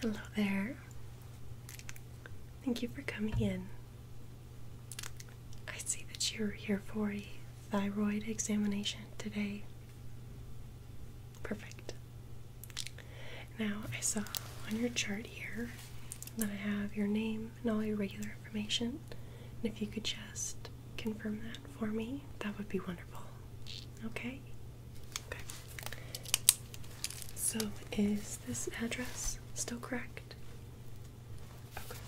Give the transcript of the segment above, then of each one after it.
Hello there. Thank you for coming in. I see that you're here for a thyroid examination today. Perfect. Now, I saw on your chart here that I have your name and all your regular information, and if you could just confirm that for me, that would be wonderful. Okay? So is this address still correct? Okay.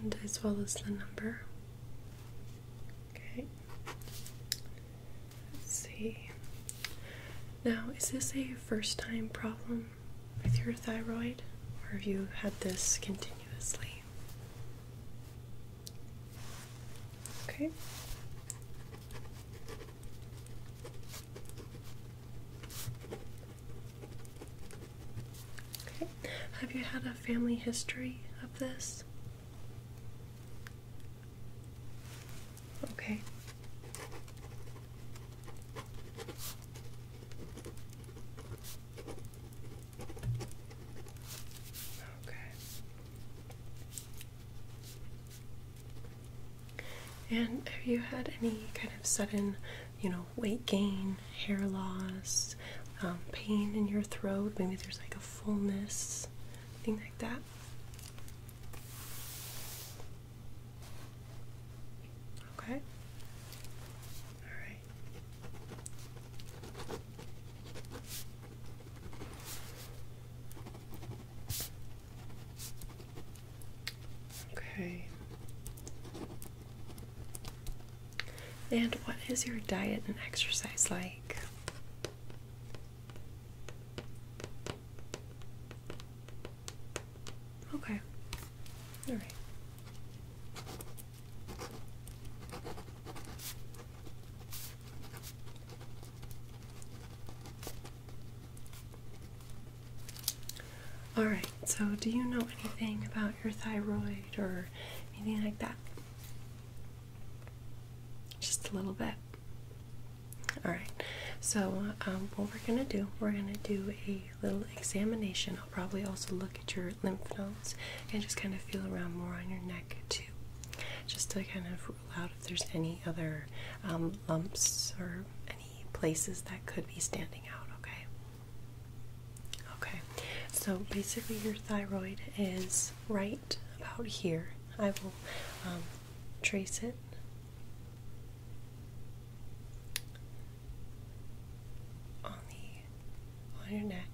And as well as the number. Okay. Let's see. Now, is this a first time problem with your thyroid? Or have you had this continuously? Okay. Okay. Have you had a family history of this? Okay. Okay. And have you had any kind of sudden, you know, weight gain, hair loss, um, pain in your throat? Maybe there's like a fullness, thing like that. Okay. All right. Okay. And what is your diet and exercise like? Okay. All right. All right, so do you know anything about your thyroid or anything like that? Just a little bit. All right, so um, what we're gonna do, we're gonna do a little examination. I'll probably also look at your lymph nodes and just kind of feel around more on your neck too just to kind of rule out if there's any other um, lumps or any places that could be standing out, okay? Okay, so basically your thyroid is right about here. I will um, trace it. On the on your neck.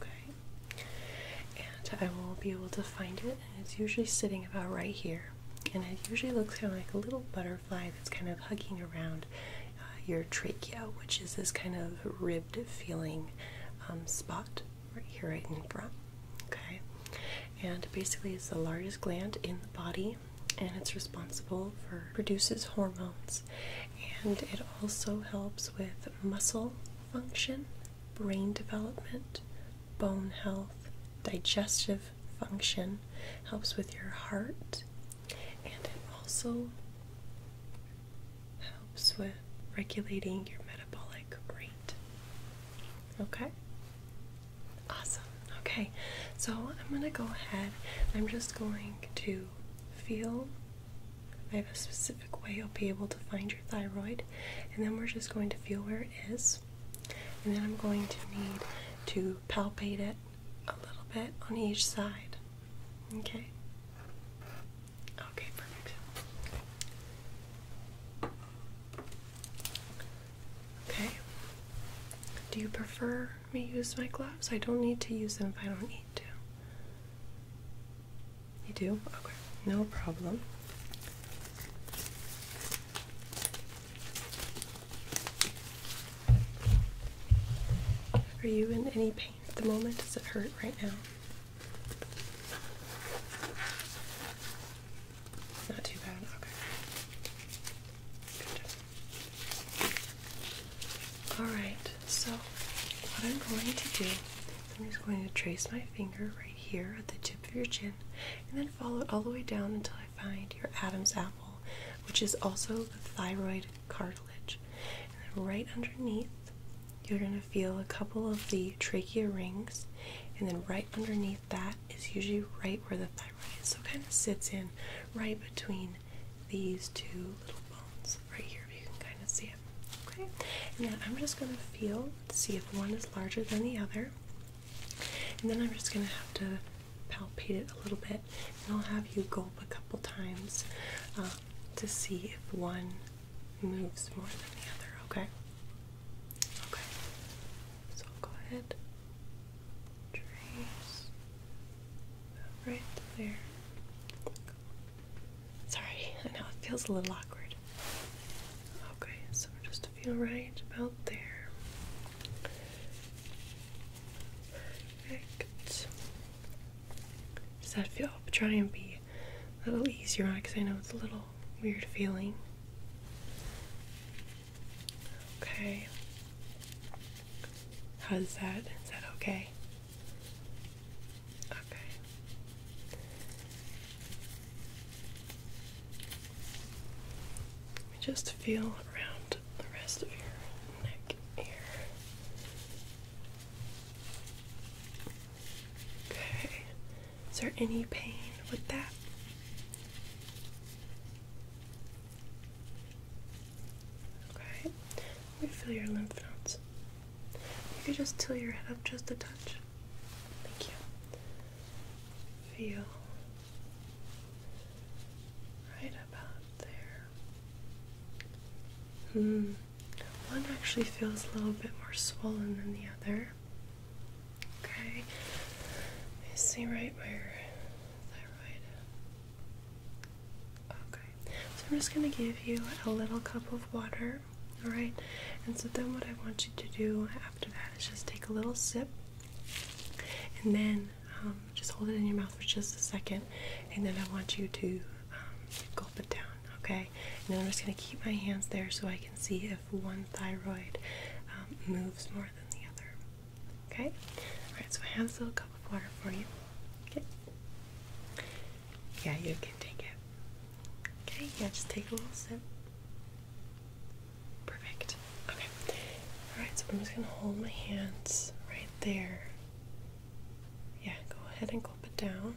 Okay? And I will be able to find it, it's usually sitting about right here. And it usually looks kind of like a little butterfly that's kind of hugging around uh, your trachea, which is this kind of ribbed feeling um, spot right here, right in front. Okay? And basically, it's the largest gland in the body, and it's responsible for produces hormones and it also helps with muscle function, brain development, bone health, digestive function, helps with your heart, and it also helps with regulating your metabolic rate. Okay? Awesome. Okay, so I'm going to go ahead. I'm just going to feel I have a specific way you'll be able to find your thyroid, and then we're just going to feel where it is. And then I'm going to need to palpate it a little bit on each side. Okay? Okay, perfect. Okay. Do you prefer me use my gloves? I don't need to use them if I don't need to. You do? Okay, no problem. Are you in any pain at the moment? Does it hurt right now? Not too bad, okay. Good. Alright, so what I'm going to do I'm just going to trace my finger right here at the tip of your chin and then follow it all the way down until I find your Adam's apple, which is also the thyroid cartilage. And then right underneath, you're going to feel a couple of the trachea rings, and then right underneath that is usually right where the thyroid So kind of sits in right between these two little bones right here. You can kind of see it. Okay? And then I'm just going to feel see if one is larger than the other. And then I'm just going to have to palpate it a little bit. And I'll have you gulp a couple times uh, to see if one moves more than the other. Okay? Okay. So go ahead. Trace right there. Sorry, I know it feels a little awkward. Okay, so just to feel right about there. Perfect. Does that feel? try and be a little easier on it because I know it's a little weird feeling. Okay. How is that? Is that okay? Okay. Let me just feel around the rest of your neck here. Okay. Is there any pain with that? Okay. Let me feel your lymph nodes. You could just tilt your head up just a touch. Thank you. Feel right about there. Hmm. One actually feels a little bit more swollen than the other. Okay. I see right where thyroid Okay, so I'm just going to give you a little cup of water, alright? And so then what I want you to do after that is just take a little sip and then um, just hold it in your mouth for just a second and then I want you to um, gulp it down, okay? And I'm just going to keep my hands there so I can see if one thyroid um, moves more than the other, okay? Alright, so I have this little cup of water for you, okay? Yeah, you can take it. Okay, yeah, just take a little sip. Perfect. Okay. Alright, so I'm just gonna hold my hands right there. Yeah, go ahead and gulp it down.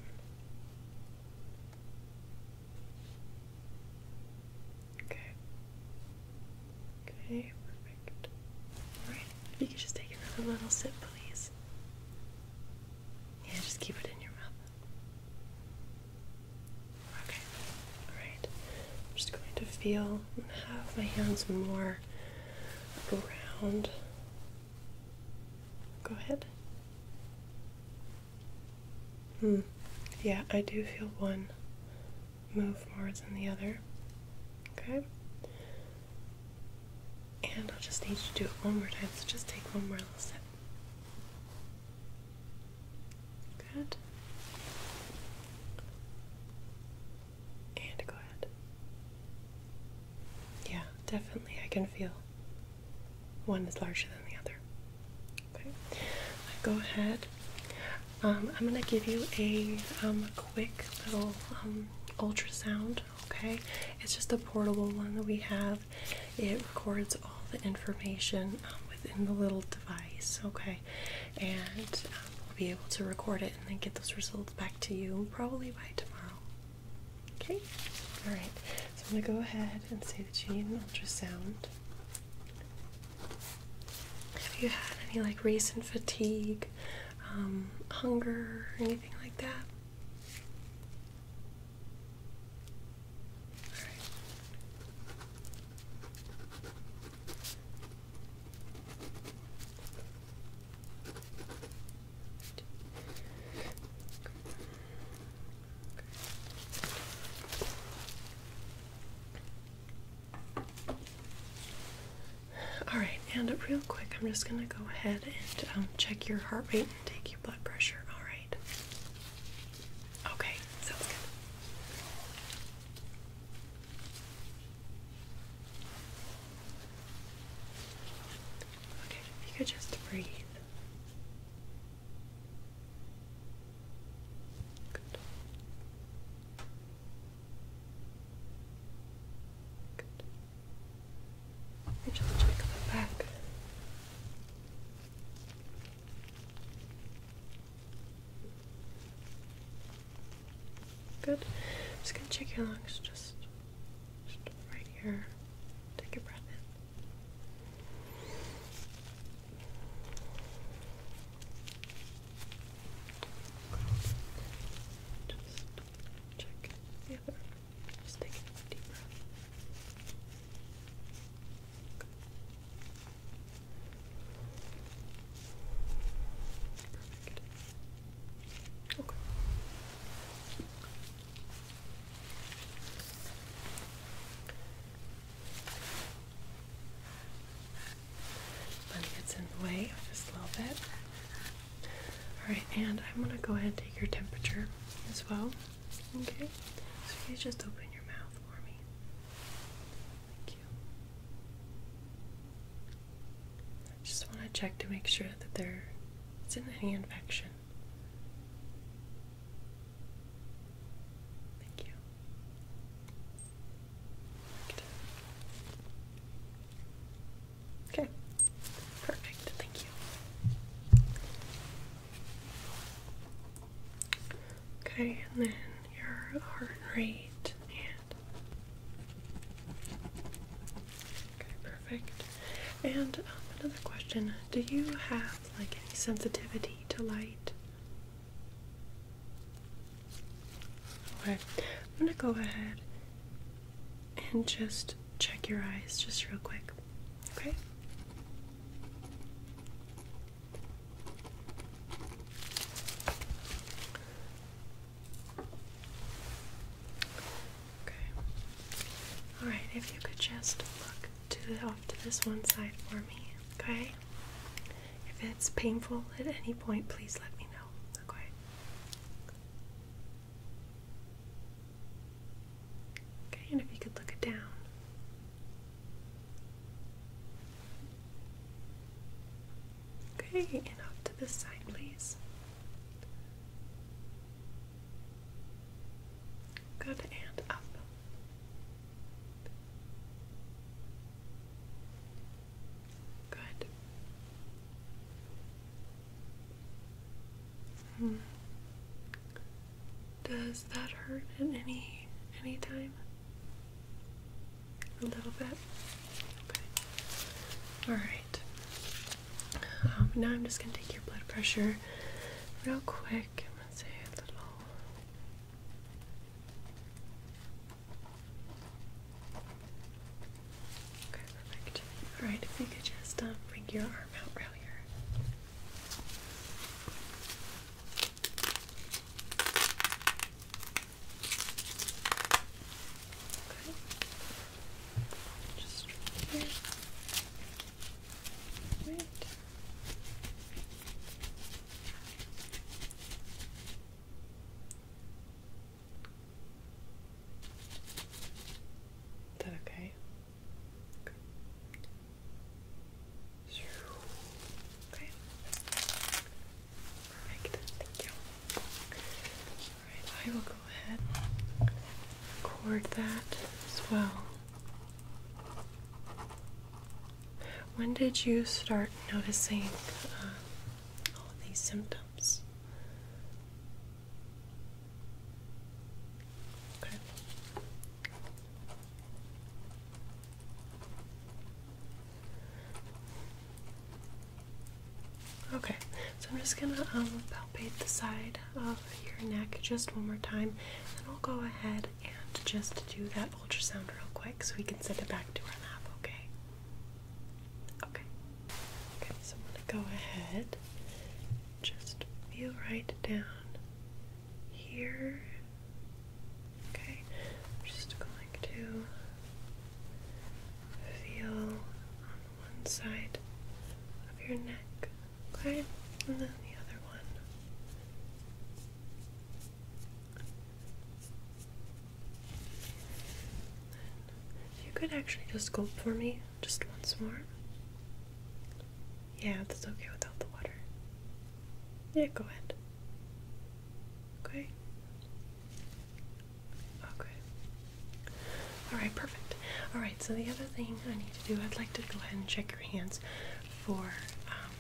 Okay. Okay. Alright, if you could just take another little sip, please. Yeah, just keep it in your mouth. Okay, alright. I'm just going to feel and have my hands more around. Go ahead. Hmm. Yeah, I do feel one move more than the other. Okay. And I'll just need you to do it one more time, so just take one more little step. Good. And go ahead. Yeah, definitely. I can feel one is larger than the other. Okay. Go ahead. Um, I'm gonna give you a um, quick little um, ultrasound. Okay, it's just a portable one that we have. It records all the information um, within the little device. Okay, and um, we'll be able to record it and then get those results back to you probably by tomorrow. Okay, all right. So I'm gonna go ahead and say that you need an ultrasound. Have you had any like recent fatigue? Um, hunger or anything like that. All right, and real quick, I'm just going to go ahead and um, check your heart rate and take your blood pressure. All right. Okay, sounds good. Okay, if you could just breathe. Good. Good. Let me just check the back. Good. just gonna check your lungs. Just, just right here. Take a breath in. Just check the other. Just take a deep Perfect. Okay. Money gets in the way just a little bit. Alright, and I'm gonna go ahead and take your temperature as well. Okay? So if you just open your mouth for me. Thank you. I just wanna check to make sure that there isn't any infection. Thank you. Okay. Perfect. Thank you. Okay, and then your heart rate and Okay, perfect. And um, another question. Do you have like any sensitivity to light? Okay, I'm gonna go ahead and just check your eyes just real quick. Okay? Okay. Alright, if you could just look to off to this one side for me, okay? If it's painful at any point, please let me know okay. Okay, and if you could look it down. Okay, and off to this side, please. Good, and up. Good. Hmm. Does that hurt at any any time? A little bit. Okay. All right. Um, now I'm just gonna take your blood pressure real quick. I'm gonna a little. Okay, perfect. Alright, if you could just um, bring your arm out right here. Just right Wait. Is that okay? Okay. Perfect. Thank you. Alright, I will go ahead record that as well. When did you start noticing uh, all these symptoms? Okay. so I'm just gonna um, palpate the side of your neck just one more time, and I'll go ahead and just do that ultrasound real quick so we can send it back to our lab, okay? Okay. Okay, so I'm gonna go ahead, just feel right down here. Okay, I'm just going to feel on one side of your neck, okay? And then the other one you could actually just gulp for me just once more. Yeah, that's okay without the water. Yeah, go ahead. Okay. Okay. Alright, perfect. Alright, so the other thing I need to do, I'd like to go ahead and check your hands for um,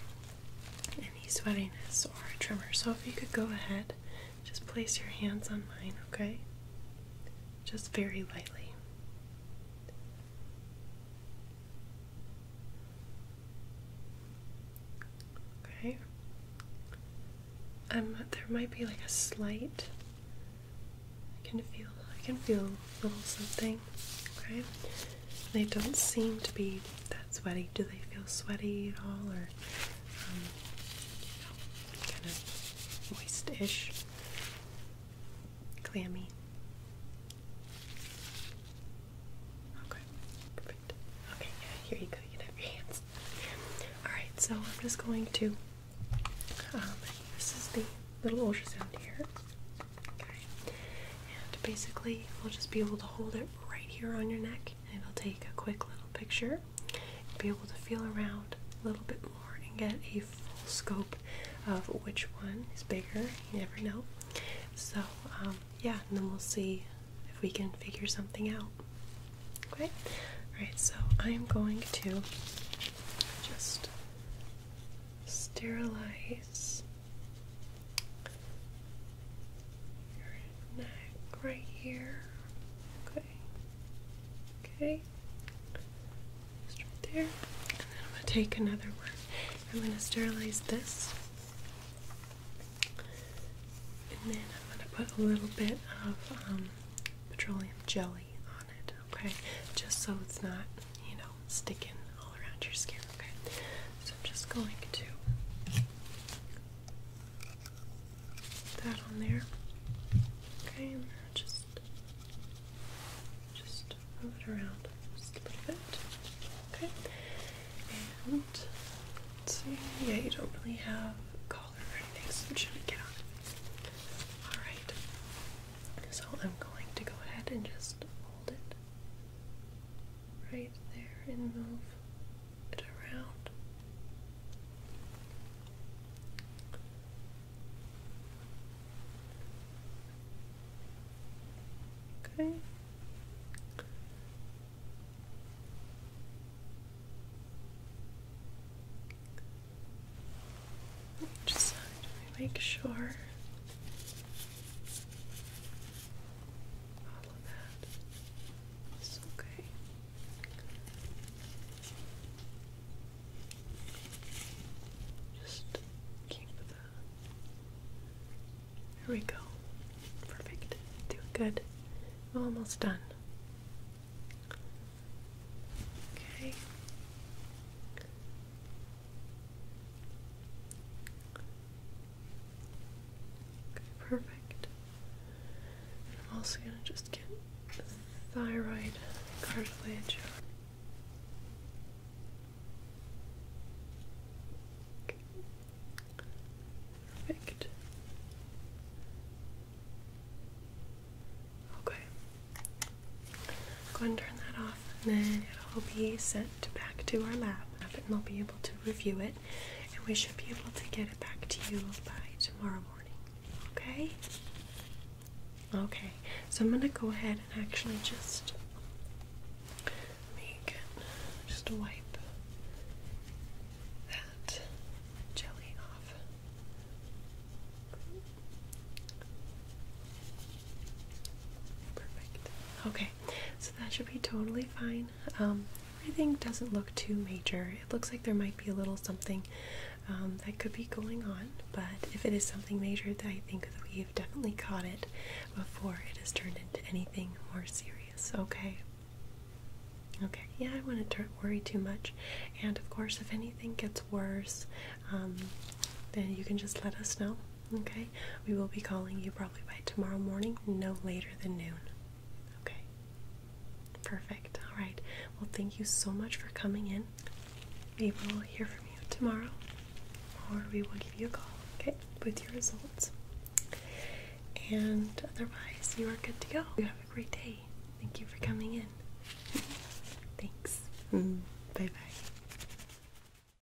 any sweatiness or a tremor. So if you could go ahead, just place your hands on mine, okay? Just very lightly. Okay. Um, there might be like a slight. I can feel. I can feel a little something. Okay. They don't seem to be that sweaty. Do they feel sweaty at all, or um, kind of moist-ish, clammy? Okay, perfect. Okay, yeah, here you go. You have your hands. All right, so I'm just going to. Um, this is the little ultrasound here. Okay, and basically we'll just be able to hold it right here on your neck, and it'll take a quick little picture. be able to feel around a little bit more and get a full scope of which one is bigger. You never know. So, um, yeah, and then we'll see if we can figure something out. Okay? Alright, so I am going to just sterilize neck right here. Okay. Okay. right there. And then I'm going to take another one. I'm going to sterilize this. And then I'm going to put a little bit of um, petroleum jelly on it, okay? Just so it's not, you know, sticking all around your skin, okay? So I'm just going to put that on there. Okay, and just just move it around just a little bit. Okay. And see, yeah, you don't really have a or anything, so I'm get on Alright. So I'm going to go ahead and just hold it right there and move it around. Okay. Each side, make sure all of that is okay. Just keep the. There we go. Perfect. Doing good. Almost done. Okay perfect. I'm also going to just get thyroid cartilage. Perfect. Okay. Go and turn that off, and then it'll be set back to our lab and they'll be able to review it and we should be able to get it back to you by tomorrow morning. Okay? Okay. So I'm gonna go ahead and actually just make just wipe that jelly off. Perfect. Okay, so that should be totally fine. Um, everything doesn't look too major. It looks like there might be a little something um, that could be going on, but if it is something major, that I think that we've definitely caught it before it has turned into anything more serious. Okay. Okay, yeah, I wouldn't worry too much. And of course, if anything gets worse, um, then you can just let us know. Okay, we will be calling you probably by tomorrow morning, no later than noon. Okay, perfect. All right, well, thank you so much for coming in. We will hear from you tomorrow, or we will give you a call, okay, with your results. And otherwise, you are good to go. You have a great day. Thank you for coming in. Thanks. Mm-hmm. bye bye.